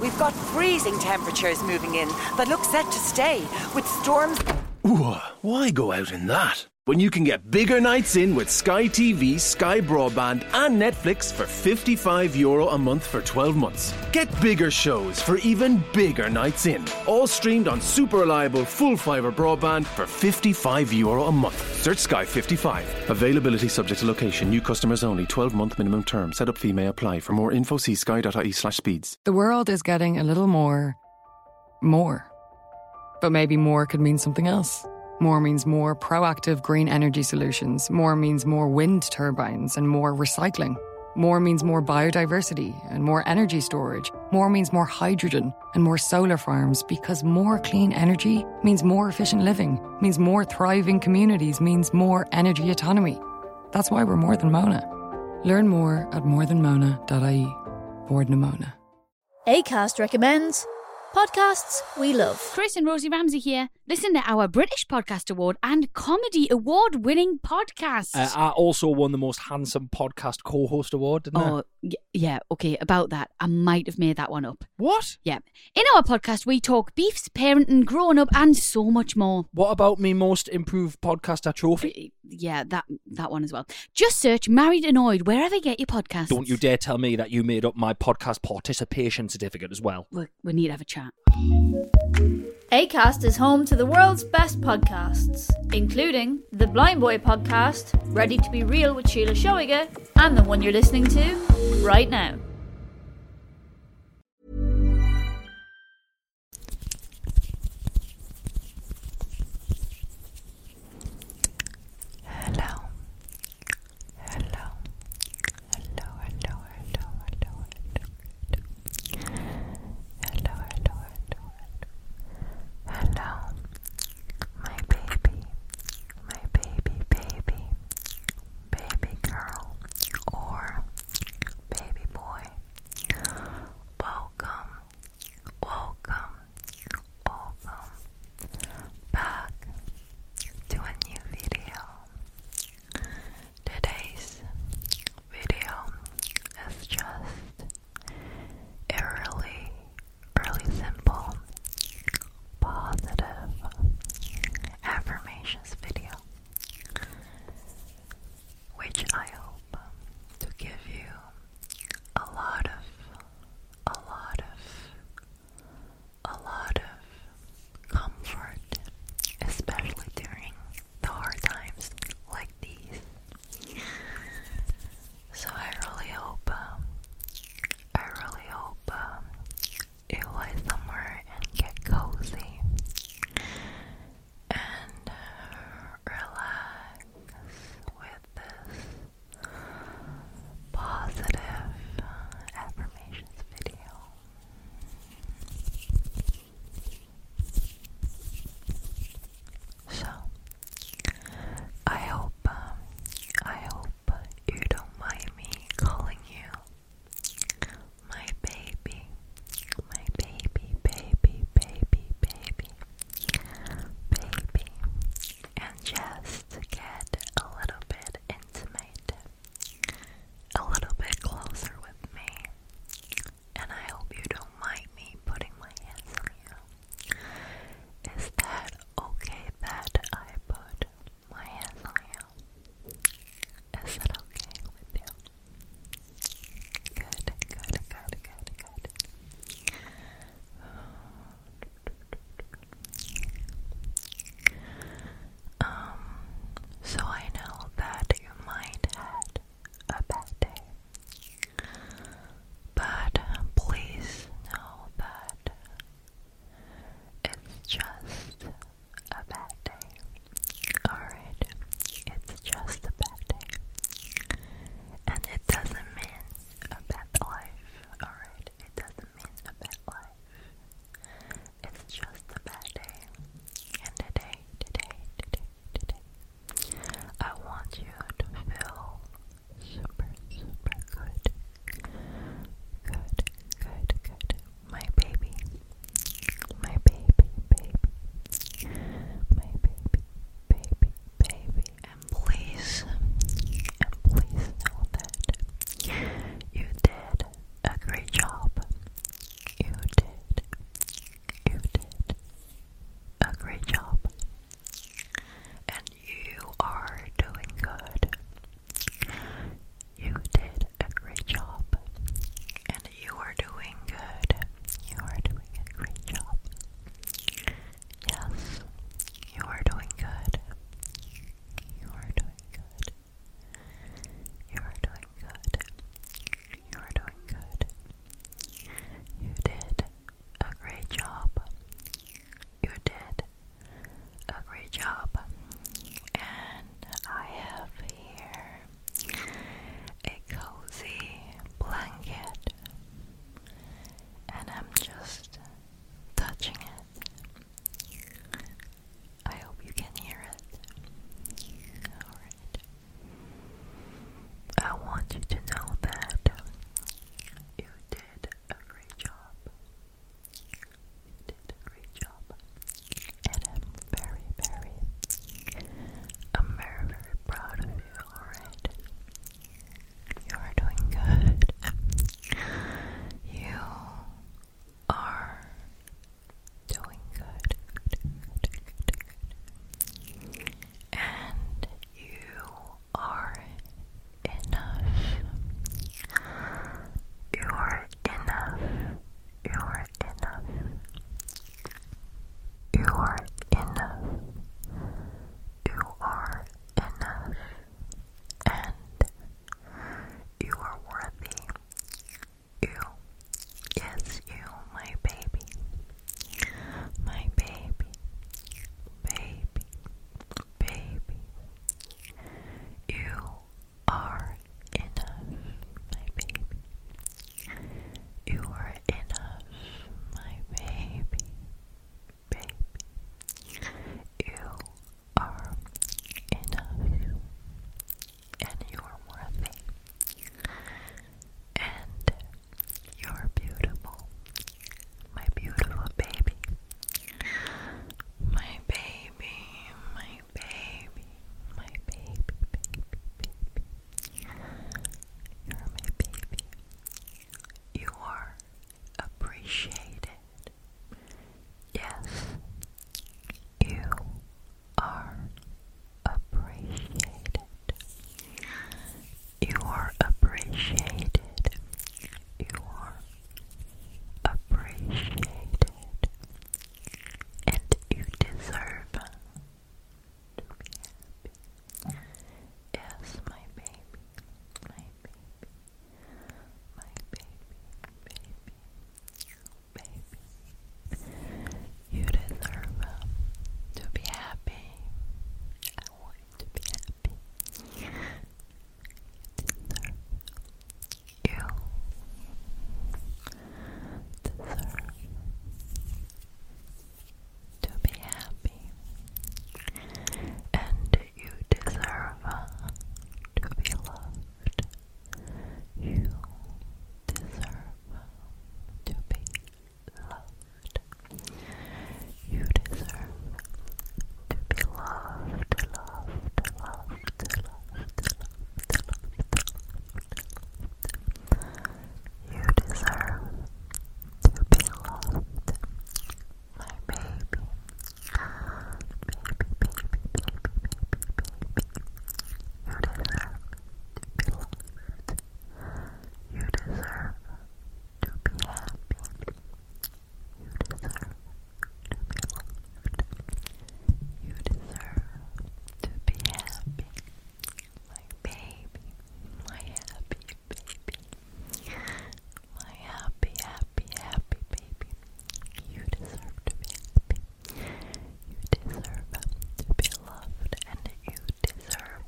We've got freezing temperatures moving in that look set to stay, with storms. why go out in that? When you can get bigger nights in with Sky TV, Sky Broadband, and Netflix for €55 Euro a month for 12 months. Get bigger shows for even bigger nights in. All streamed on super reliable full fibre broadband for €55 Euro a month. Search Sky 55. Availability subject to location, new customers only, 12 month minimum term term setup fee may apply. For more info, see sky.ie slash speeds. The world is getting a little more. more. But maybe more could mean something else. More means more proactive green energy solutions. More means more wind turbines and more recycling. More means more biodiversity and more energy storage. More means more hydrogen and more solar farms because more clean energy means more efficient living, means more thriving communities, means more energy autonomy. That's why we're more than Mona. Learn more at morethanmona.ie. Board Mona. ACAST recommends podcasts we love. Chris and Rosie Ramsey here. Listen to our British Podcast Award and Comedy Award winning podcast. Uh, I also won the most handsome podcast co host award, Oh, yeah. Okay, about that. I might have made that one up. What? Yeah. In our podcast, we talk beefs, parenting, grown up, and so much more. What about me most improved podcaster trophy? Uh, yeah, that that one as well. Just search Married Annoyed wherever you get your podcast. Don't you dare tell me that you made up my podcast participation certificate as well. we need to have a chat. ACAST is home to the world's best podcasts, including the Blind Boy podcast, Ready to Be Real with Sheila Shoiger, and the one you're listening to right now. Hello. Hello. Hello, hello, hello, hello, hello, my baby, my baby, baby, baby girl, or baby boy. Welcome, welcome, welcome back to a new video. Today's video is just a really simple positive affirmations video, which I hope to give you a lot of, a lot of, a lot of comfort, especially during the hard times like these. So I really hope, um, I really hope um, it lie somewhere and get cozy and uh, relax with this positive uh, affirmations video. So, I hope, um, I hope hope you don't mind me calling you my baby, my baby, baby, baby, baby, baby, and just to get a little bit intimate, a little bit closer with me. And I hope you don't mind me putting my hands on you. Is that okay that I put my hands on you. Is that okay with you? Good, good, good, good, good. Um, so I know that you might had a bad day, but uh, please know that it's just a bad day. Alright, it's just a bad day. And it doesn't mean a bad life. Alright, it doesn't mean a bad life. It's just a bad day. And today, today, today, today, I want you to feel super, super good. Good, good, good. My baby. My baby, baby. My baby, baby, baby. And please, and please know that you did a great job. You did, you did a great job. And you are doing good. You did a great job. And you are doing good. You are doing a great job. Yes, you are doing good. You are doing good. You are doing good. You are doing good. You did a great job. You did a great job. And I have here a cozy blanket, and I'm just touching it. I hope you can hear it. I want you to know that you did did a great job. did a great job. And I'm very, very, I'm very, very proud of you, alright? You are doing good. You are doing good. And you are enough. You are enough. You are enough. You are enough. You are enough. And you are worthy. You. Yes, you, my baby. My baby, baby, baby, you are enough, my baby. You are enough, my baby, baby. You are enough, and you are worthy, and you're beautiful, my beautiful baby. My baby, my baby, my baby, You're my baby. You are appreciated. Yes, you are appreciated. You are appreciated. You are appreciated. And you deserve to be happy. Yes, my baby. My baby. My baby. Baby. Baby. You deserve um, to be happy to be happy. You deserve. to be happy, and you deserve to be loved. You deserve to be loved. You deserve to be loved, loved, loved, loved, loved, loved, loved. You deserve to be loved, my baby. Baby, baby, baby, baby, baby. You deserve to be loved. You deserve to be happy. You deserve to be loved. You deserve to be happy. My baby, my happy baby. My happy, happy, happy baby. You deserve to be happy. You deserve to be loved and you deserve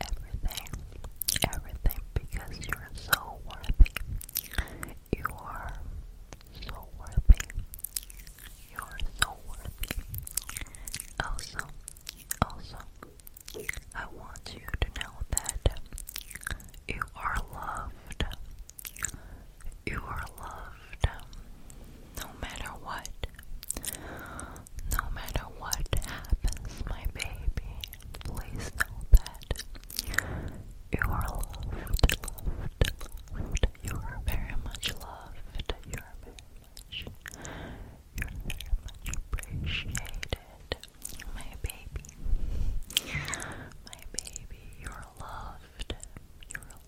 everything, everything because you're so worthy. You are so worthy. You are so worthy. Also, also, I want you to know that you are loved. You are loved no matter what, no matter what happens, my baby, please know that you are loved, loved, loved. You are very much loved. You are very much, you are very much appreciated, my baby, my baby. You are loved. You are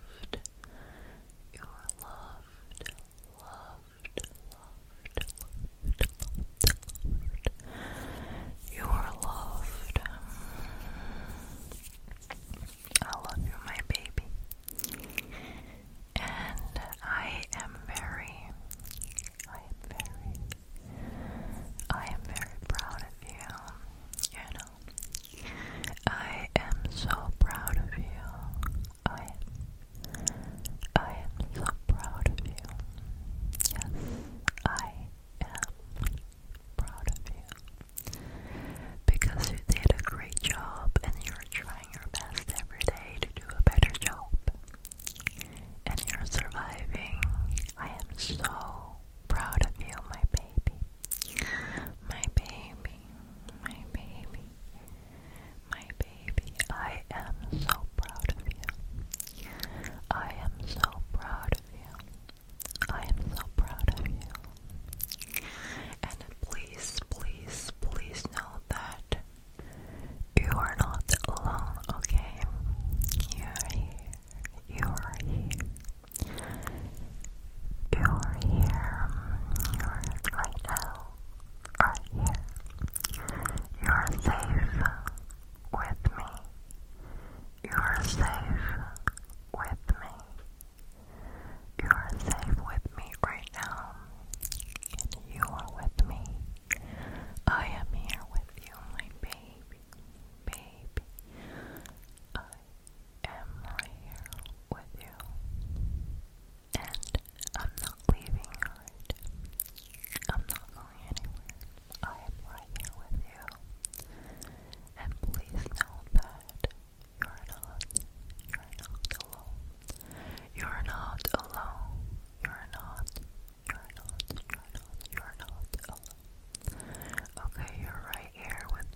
loved. You are loved, loved, loved, loved, loved, You are loved. I love you, my baby. And I am very, I am very, I am very proud of you. You know, I am so proud of you. I am, I am so proud of you. Yes, I am proud of you. Because you did a great job and you're trying your best every day to do a better job. And you're surviving. I am so proud of you, my baby. My baby, my baby, my baby, I am so proud of you. I am so proud of you. I am so proud of you. And please, please, please know that you are not alone, okay? You are here. You are here your hair right now, right here. You are safe with me. You are safe with me. You are safe with me right now. And you are with me. I am here with you, my baby, baby am right here with you. And I'm not leaving I'm not going anywhere. I am right here with you. And please know that you're not, you're not alone. You're not alone. You're not, you're not, you're not, you're not alone. Okay, you're right here with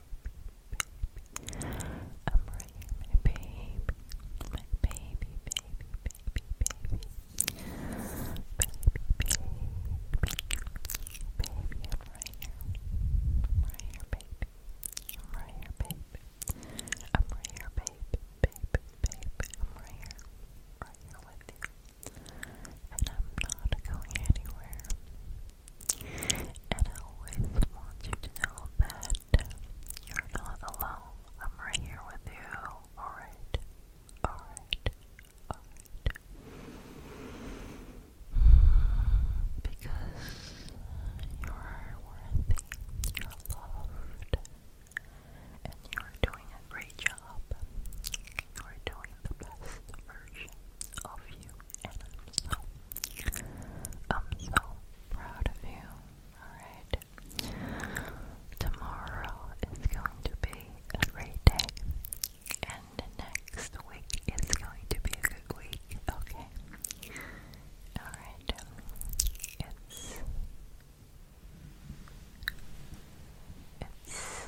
baby. I'm right here, my baby. My baby, baby, baby, baby. Baby, baby. Baby, I'm right here. right here, baby. right here, baby. I'm right here, babe, babe, babe. I'm right here, right here with you. And I'm not going anywhere. And I always want you to know that you're not alone. I'm right here with you. Alright. Alright. Alright. Because you're worthy, you're loved, and you're doing a great job. You're doing the best version of you, and I'm so, I'm so proud of you. Alright, tomorrow is going to be a great day, and next week is going to be a good week, okay? Alright, it's. It's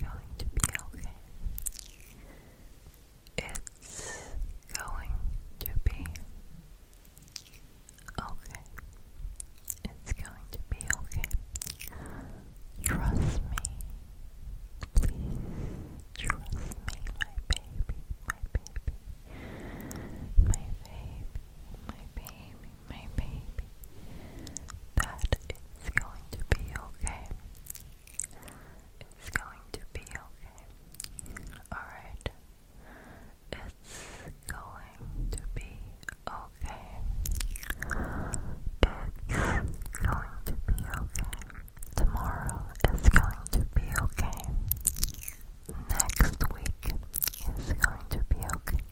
going to be okay. It's going to be okay. It's going to be okay. Trust me. Please trust me, my baby, my baby. My baby, my baby, my baby. That going to be okay. It's going to be okay. Alright. It's going to be okay. It's going to be okay. Tomorrow is going to be okay. Next week is going to be okay.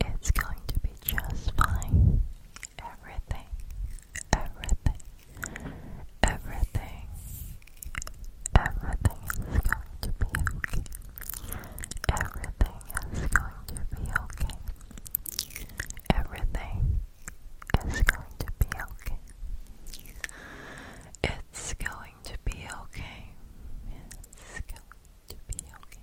It's going to be just fine everything, everything, everything, everything is going to be okay. Everything is going to be okay. Everything is going to be okay. It's going to be okay. It's going to be okay,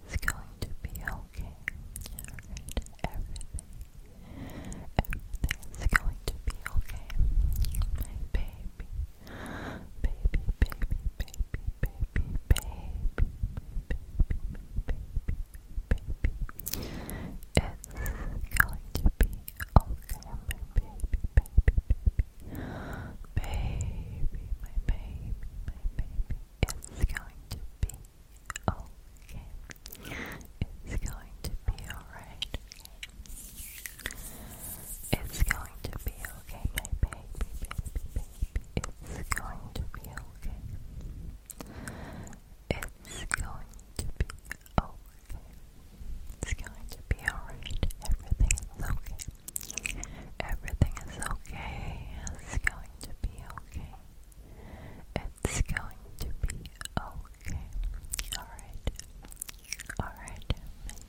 It's going to be okay. Alright, everything. Everything's going to be okay. My baby. Baby, baby, baby, baby, baby, baby, baby, baby. It's going to be okay, my baby, baby, baby. Baby, my baby, my baby. It's going to be okay. It's going to be alright. It's going to be okay, baby, It's going to be okay. It's going to be okay. It's going to be alright. Everything okay. Everything is okay. It's going to be okay. It's going to be okay. Alright. Alright.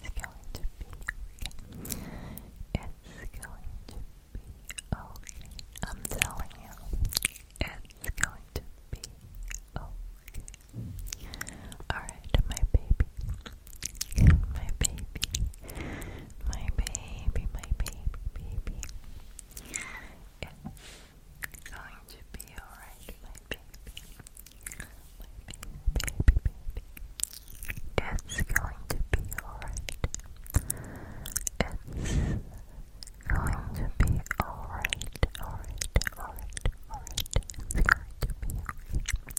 It's going to be okay. It's going to be okay. I'm telling you. It's going to be okay. Alright, my baby. My baby, my baby, my baby, baby. It's going to be alright, my baby. My baby, baby, baby. It's going to be alright. It's going to be alright, alright, alright, alright. It's going to be okay.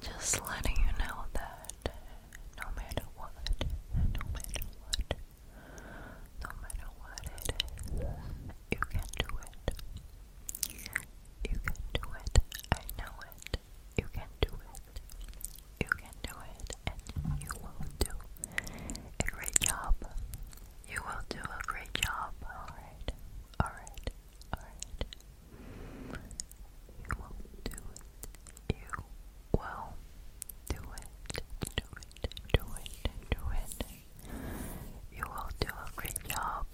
Just letting you know that no matter what, no matter what, no matter what it is, you can do it. You can do it. I know it. You can do it. You can do it, and you will do a great job. You will do a great job, alright? Alright, alright. You will do it. You will do it. Do it, do it, do it. You will do a great job.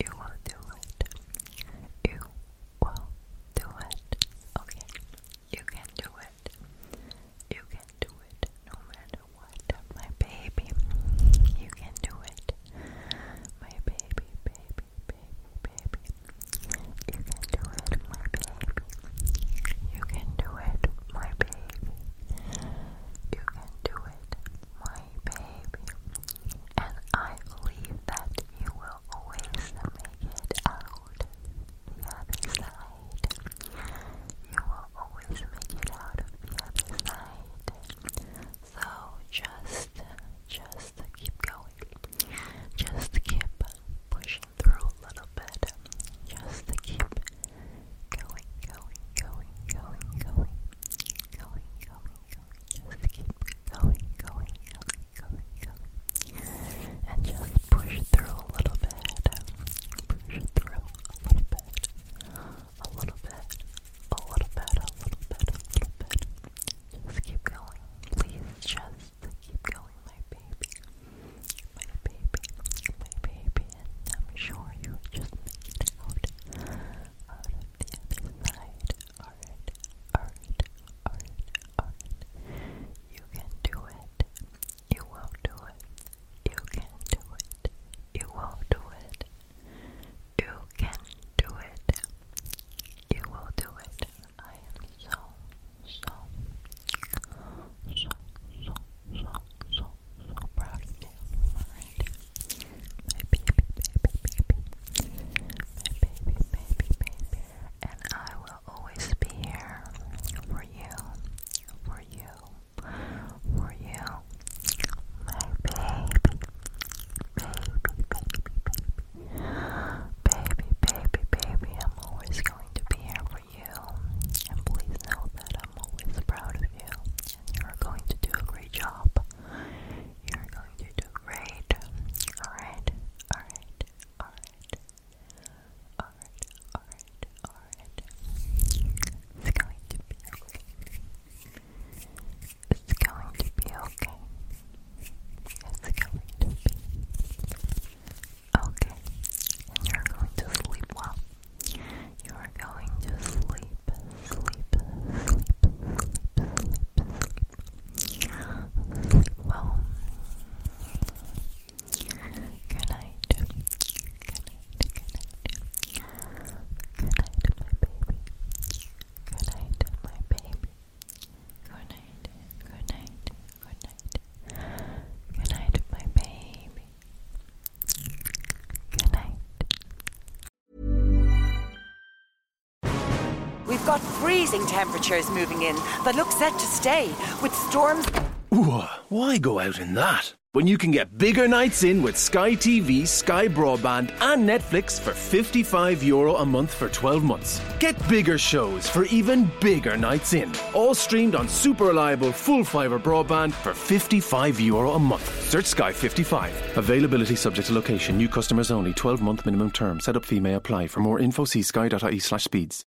You will do it. You will do it. Okay, you can do it. You can do it no matter what, my baby. You can do it, my baby, baby, baby, baby. You can do it, my baby. You can do it, my baby. You can do it, my baby. And I believe that you will always make it out the other side side. You will always make it out of the other side. So just, just keep going. Just keep pushing through a little bit. Just keep going, going, going, going, going, going, going, going. Just keep going, going, going, going, going. And just push through a little bit. Push through a little bit bit, a little bit, a little bit, a little bit, a little bit. Just keep going. Please just keep going, my baby. My baby, my baby, and I'm sure you just made it out, out of the other side. Alright, alright, alright, alright. You can do it. You will do it. You can do it. You will do it. You can do it. You will do it. I am so, so, so, so, so, so, so proud of you. My baby, baby, baby. My baby, baby, baby. And I will always be here for you, for you, for you, my baby, baby, baby, baby, baby, baby, baby. I'm always going to be here for you, and please know that I'm always proud of you, and you're going to do a great job. You're going to do great. All right, all right, all right. It's going to be okay. It's going to be okay. It's going to be okay. And you're going to sleep well. You are going to sleep, sleep, sleep, sleep, sleep. Sleep well. Good night. Good night. Good night. Good night, my baby. Good night, my baby. Good night. Good night. Good night. Good night, my baby. Good night. We've got freezing temperatures moving in that look set to stay with storms. Ah. Why go out in that? When you can get bigger nights in with Sky TV, Sky Broadband, and Netflix for €55 Euro a month for 12 months. Get bigger shows for even bigger nights in. All streamed on super reliable full fibre broadband for €55 Euro a month. Search Sky 55. Availability subject to location, new customers only, 12 month minimum term. Setup fee may apply. For more info, see sky.ie slash speeds.